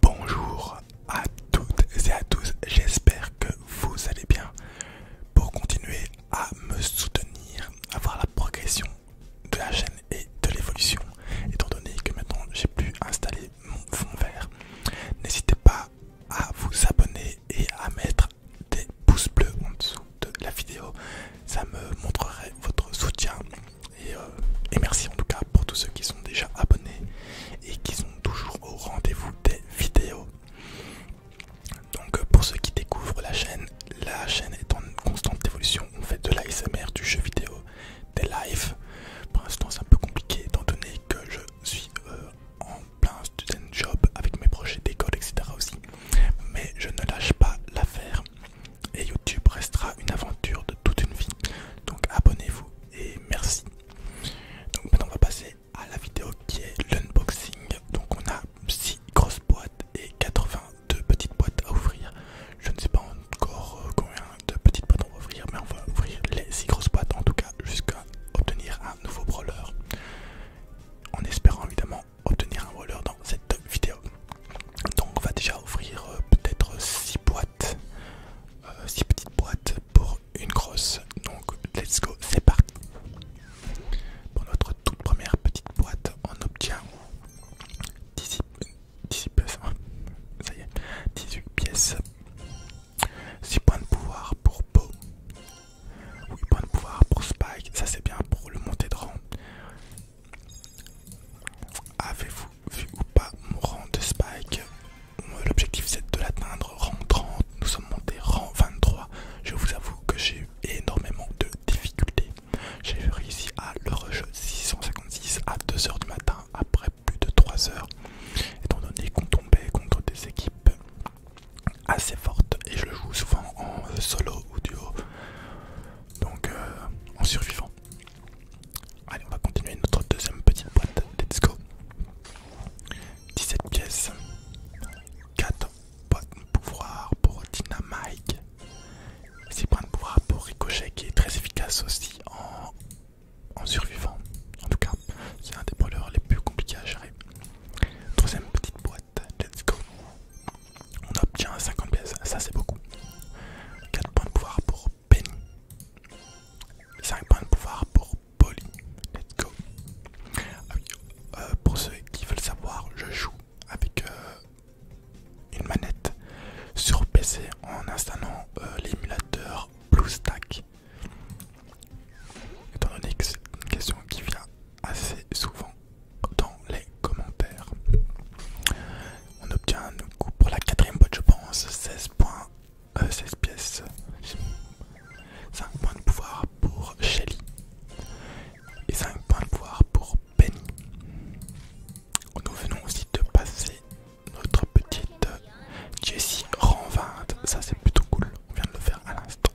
Bonjour à toutes et à tous, j'espère que vous allez bien. Pour continuer à me soutenir, à voir la progression de la chaîne et de l'évolution, étant donné que maintenant j'ai pu installer mon fond vert, n'hésitez pas à vous abonner et à mettre des pouces bleus en dessous de la vidéo, ça me montrerait votre soutien euh, et, merci en tout cas pour tous ceux qui sont déjà abonnés et qui sont toujours au rendez-vous des vidéos. Donc euh, pour ceux qui découvrent la chaîne, la chaîne est en constante évolution. On fait de l'ASMR, du jeu vidéo, des lives. Pour l'instant c'est un peu compliqué étant donné que je suis euh, en plein student job avec mes projets d'école etc aussi. Mais je ne lâche pas l'affaire et YouTube restera une aventure de toute une vie. Donc abonnez-vous et merci. Donc maintenant on va passer à la vidéo qui est l'unboxing. Donc on a 6 grosses boîtes et 82 petites boîtes à ouvrir. Je ne sais pas encore euh, combien de petites boîtes on va ouvrir, mais on va ouvrir les 6 grosses boîtes en tout cas jusqu'à obtenir un nouveau brawler. En espérant évidemment obtenir un brawler dans cette vidéo. Donc on va déjà ouvrir euh, peut-être 6 boîtes, euh, petites boîtes pour une grosse. Donc let's go, c'est parti. Pour notre toute première petite boîte, on obtient 18 pièces. 6 hein. points de pouvoir pour Po 8 points de pouvoir pour Spike, ça c'est bien pour le monter de rang. Avez-vous vu ou pas mon rang de Spike L'objectif c'est de l'atteindre rang 30, nous sommes montés rang 23. Je vous avoue que j'ai eu énormément de difficultés. J'ai réussi à le rejet 656 à 2h du matin après plus de 3 h étant donné qu'on tombait contre des équipes assez fortes et je le joue souvent en solo ou duo, donc euh, en survivant. Allez, on va continuer notre deuxième petite boîte. Let's go. 17 pièces. 4 boîtes de pouvoir pour Dynamite. 6 points de pouvoir pour Ricochet qui est très efficace aussi en, survivant. En tout cas, c'est un des brawlers les plus compliqués à gérer. Troisième petite boîte let's go. On obtient 50 pièces, ça c'est beaucoup. 4 points de pouvoir pour Penny. 5 points de pouvoir pour Polly. Let's go. Ah euh, pour ceux qui veulent savoir, je joue avec euh, une manette sur PC en installant euh, l'émulateur BlueStack. Étant donné que c'est une question qui vient assez souvent dans les commentaires. On obtient coup pour la quatrième boîte, je pense, 16 points, 16 euh, pièces, 5 points de pouvoir pour Shelly et 5 points de pouvoir pour Penny. Nous venons aussi de passer notre petite Jessie rang 20, ça c'est plutôt cool, on vient de le faire à l'instant.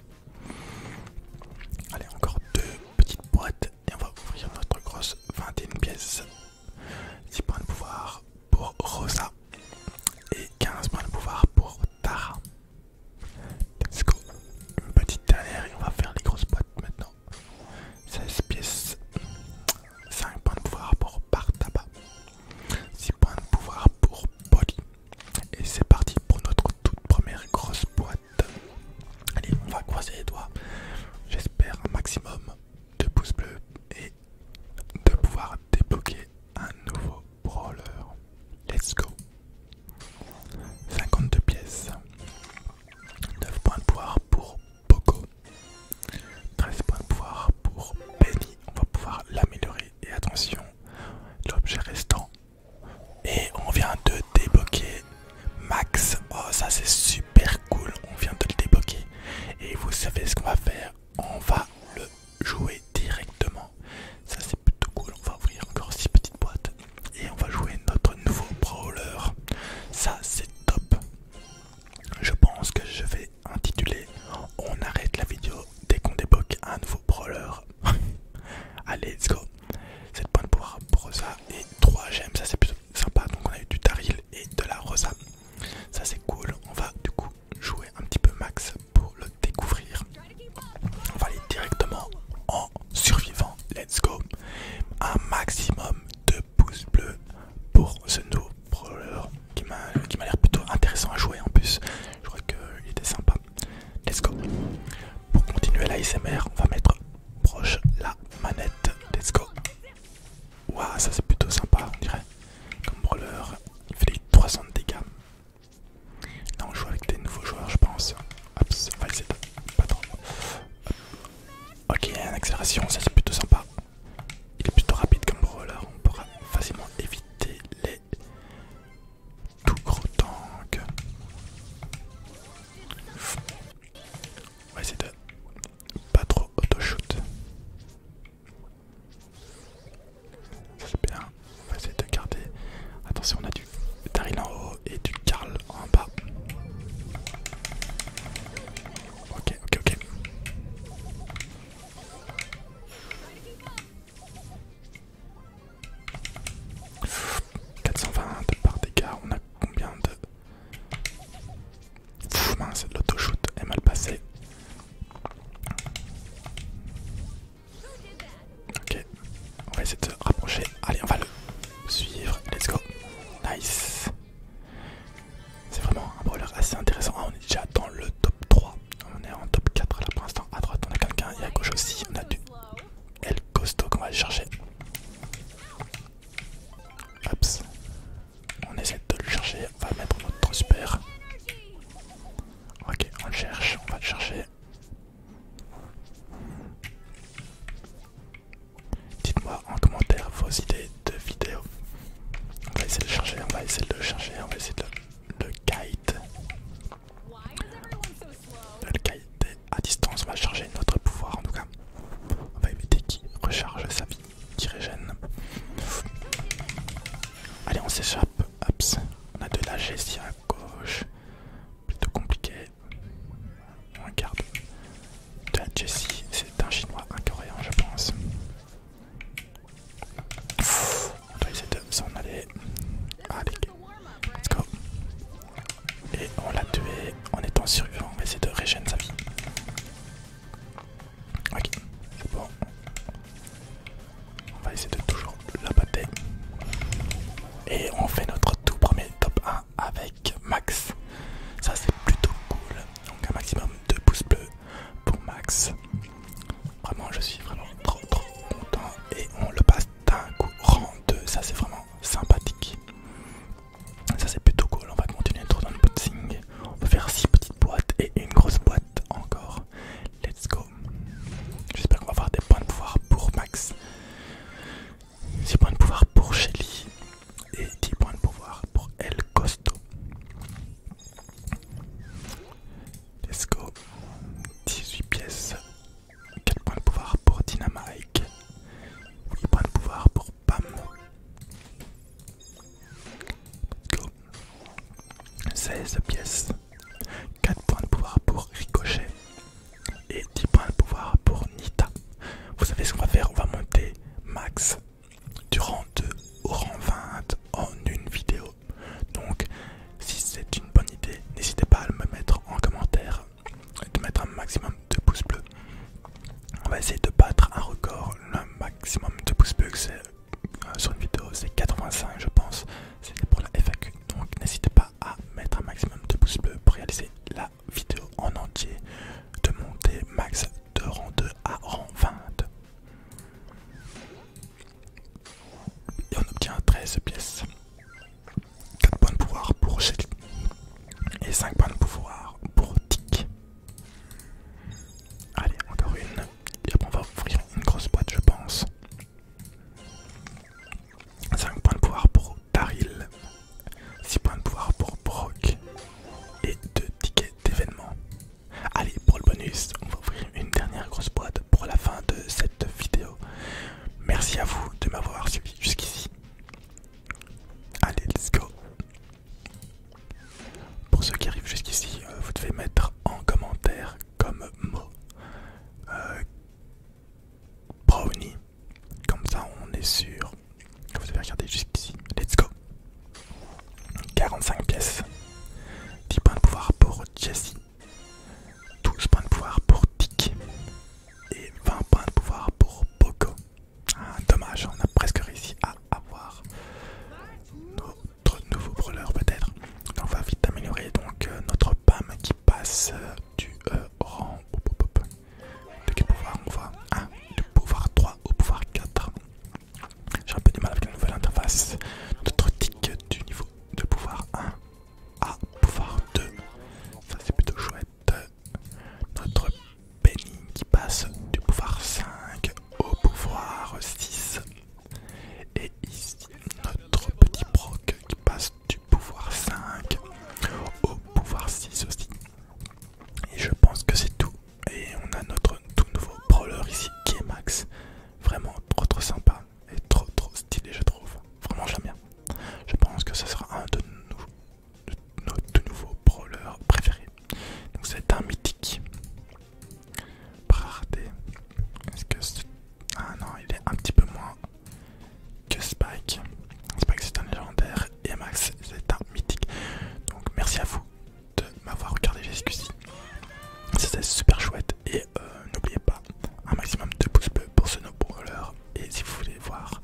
Allez, encore deux petites boîtes et on va ouvrir notre grosse 21 pièces. 6 points de pouvoir pour Rosa et 15 points de pouvoir pour Tara. Let's go. Une petite dernière et on va faire les grosses boîtes maintenant. 16 pièces. 5 points de pouvoir pour Bartaba. 6 points de pouvoir pour Polly. Et c'est parti pour notre toute première grosse boîte. Allez, on va croiser les doigts. J'espère un maximum de pouces bleus et de pouvoir débloquer un nouveau brawler. Let's go. 52 pièces. 9 points de pouvoir pour Poco. 13 points de pouvoir pour Benny, On va pouvoir l'améliorer. Et attention, l'objet restant et on vient de débloquer Max. Oh ça c'est super cool. On vient de le débloquer. Et vous savez ce qu'on va faire. On va le jouer directement. Ça c'est plutôt cool. On va ouvrir encore six petites boîtes. Et on va jouer notre nouveau brawler. Ça c'est top. Je pense que je vais intituler On arrête la vidéo dès qu'on débloque un nouveau brawler Allez, let's go. 7 points pour Rosa et 3 gemmes, ça c'est plutôt sympa. Donc on a eu du Taril et de la Rosa. Ça c'est cool. On va du coup jouer un petit peu max pour le découvrir. On va aller directement en survivant. Let's go. Un maximum de pouces bleus pour ce nouveau brawler qui m'a l'air plutôt intéressant à jouer en plus. Je crois qu'il était sympa. Let's go. Pour continuer l'ASMR, on va mettre proche la manette. Let's go. Waouh, ça c'est plutôt sympa, on dirait. Comme brawler, il fait 300 dégâts. Là, on joue avec des nouveaux joueurs, je pense. Hop, c'est pas trop. Ok, accélération, ça c'est plutôt sympa. Il est plutôt rapide comme brawler, on pourra facilement éviter les tout gros tank. On va essayer de pas trop auto-shoot. C'est bien. On va essayer de garder. Attention, on a du Tarin en haut et du Carl en bas. Ok, ok, ok. 420 par dégât. on a combien de... l'auto mince, l'autoshoot est mal passé. Ok, on va essayer de se rapprocher. Allez, on va le suivre. Let's go. Nice. C'est vraiment un brawler assez intéressant. Ah, on est déjà dans le top 3. On est en top 4 là pour l'instant. À droite, on a quelqu'un et à gauche aussi, on a du El Costo qu'on va aller chercher. Hop, On essaie de le chercher. On va mettre notre super. Ok, on le cherche. On va le chercher. Dites-moi en commentaire vos idées de vidéos. On va essayer de le chercher. On va essayer de le chercher. On va essayer de le le kite. Le kite à distance va charger notre pouvoir en tout cas. On va éviter qu'il recharge sa vie, qui régène. Allez, on s'échappe. On a de la Jessie à gauche. Plutôt compliqué. On regarde. De la Jessie, c'est un chinois, un coréen, je pense. On va essayer de s'en aller. Allez, let's go. Et on l'a tué en étant survivant. On va essayer de régénérer sa vie. Ok, c'est bon. On va essayer de toujours la Et on fait notre tout premier top 1 avec Max. Ça c'est plutôt cool. Donc un maximum de pouces bleus pour Max. Vraiment, je suis vraiment trop trop content et on le passe d'un coup rang 2. Ça, c'est vraiment sympathique. Ça, c'est plutôt cool. On va continuer notre dans le On va faire 6 petites boîtes et une grosse boîte encore. Let's go. J'espère qu'on va avoir des points de pouvoir pour Max. 6 points de pouvoir pour Shelly et 10 points de pouvoir pour El Costo. Let's go. 18 pièces. 4 points de pouvoir pour Dynamite. 8 points de pouvoir pour Pam. Let's go. 16 pièces. 4 points de pouvoir pour Ricochet. Et 10 points de pouvoir pour Nita. Vous savez ce qu'on va faire On va monter max durant 2 au rang 20 en une vidéo. Donc si c'est une bonne idée, n'hésitez pas à me mettre en commentaire, et de mettre un maximum de pouces bleus. On va essayer de battre un record, le maximum de pouces bleus euh, sur une vidéo, c'est 85 je pense, c'est pour la FAQ. Donc n'hésitez pas à mettre un maximum de pouces bleus pour réaliser la vidéo en entier de monter max de rang 2 à rang 20. Et on obtient 13 pièces. 4 points de pouvoir pour Shelly. Et 5 points de pouvoir pour Tik. Allez, encore une. Et après on va ouvrir une grosse boîte je pense. 5 points de pouvoir pour Daryl. 6 points de pouvoir pour Brock et 2 tickets d'événement. Allez, pour le bonus, on va ouvrir une dernière grosse boîte pour la fin de cette vidéo. Merci à vous de m'avoir suivi jusqu'ici. Allez, let's go. Pour ceux qui arrivent jusqu'ici, euh, vous devez mettre en commentaire comme mot euh, brownie comme ça, on est sûr. que Vous avez regardé jusqu'ici. Let's go. 45 pièces. 10 points de pouvoir pour Jessie. 12 points de pouvoir pour Dick. Et 20 points de pouvoir pour Poco. Ah, dommage, on a presque réussi à avoir notre nouveau brûleur, peut-être. On va vite améliorer donc euh, notre PAM qui passe euh, du rang. au pop. De quel pouvoir on va du pouvoir 3 au pouvoir 4. J'ai un peu du mal avec la nouvelle interface. Notre tick du niveau de pouvoir 1 à pouvoir 2. Ça c'est plutôt chouette. Notre Penny qui passe du pouvoir 5 au pouvoir 6. Et ici notre petit proc qui passe du pouvoir 5 au pouvoir 6 aussi. Et je pense que c'est tout. Et on a notre tout nouveau brawler ici qui est Max. Vraiment trop trop sympa et trop trop stylé je trouve. Vraiment j'aime bien. Je pense que ce sera un de nos, tout nouveaux brawlers préférés. Donc c'est un mythique. Est-ce que c'est Ah non il est un petit peu moins que Spike. Spike c'est un légendaire et Max c'est un mythique. Donc merci à vous de m'avoir regardé jusqu'ici. C'était super chouette et euh, n'oubliez pas un maximum de pouces bleus pour ce no-brawler. Et si vous voulez voir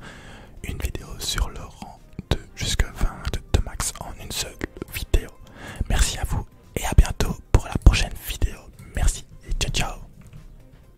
une vidéo sur le rang de jusqu'à 20 de Max en une seule vidéo. Merci à vous et à bientôt pour la prochaine vidéo. Merci et ciao ciao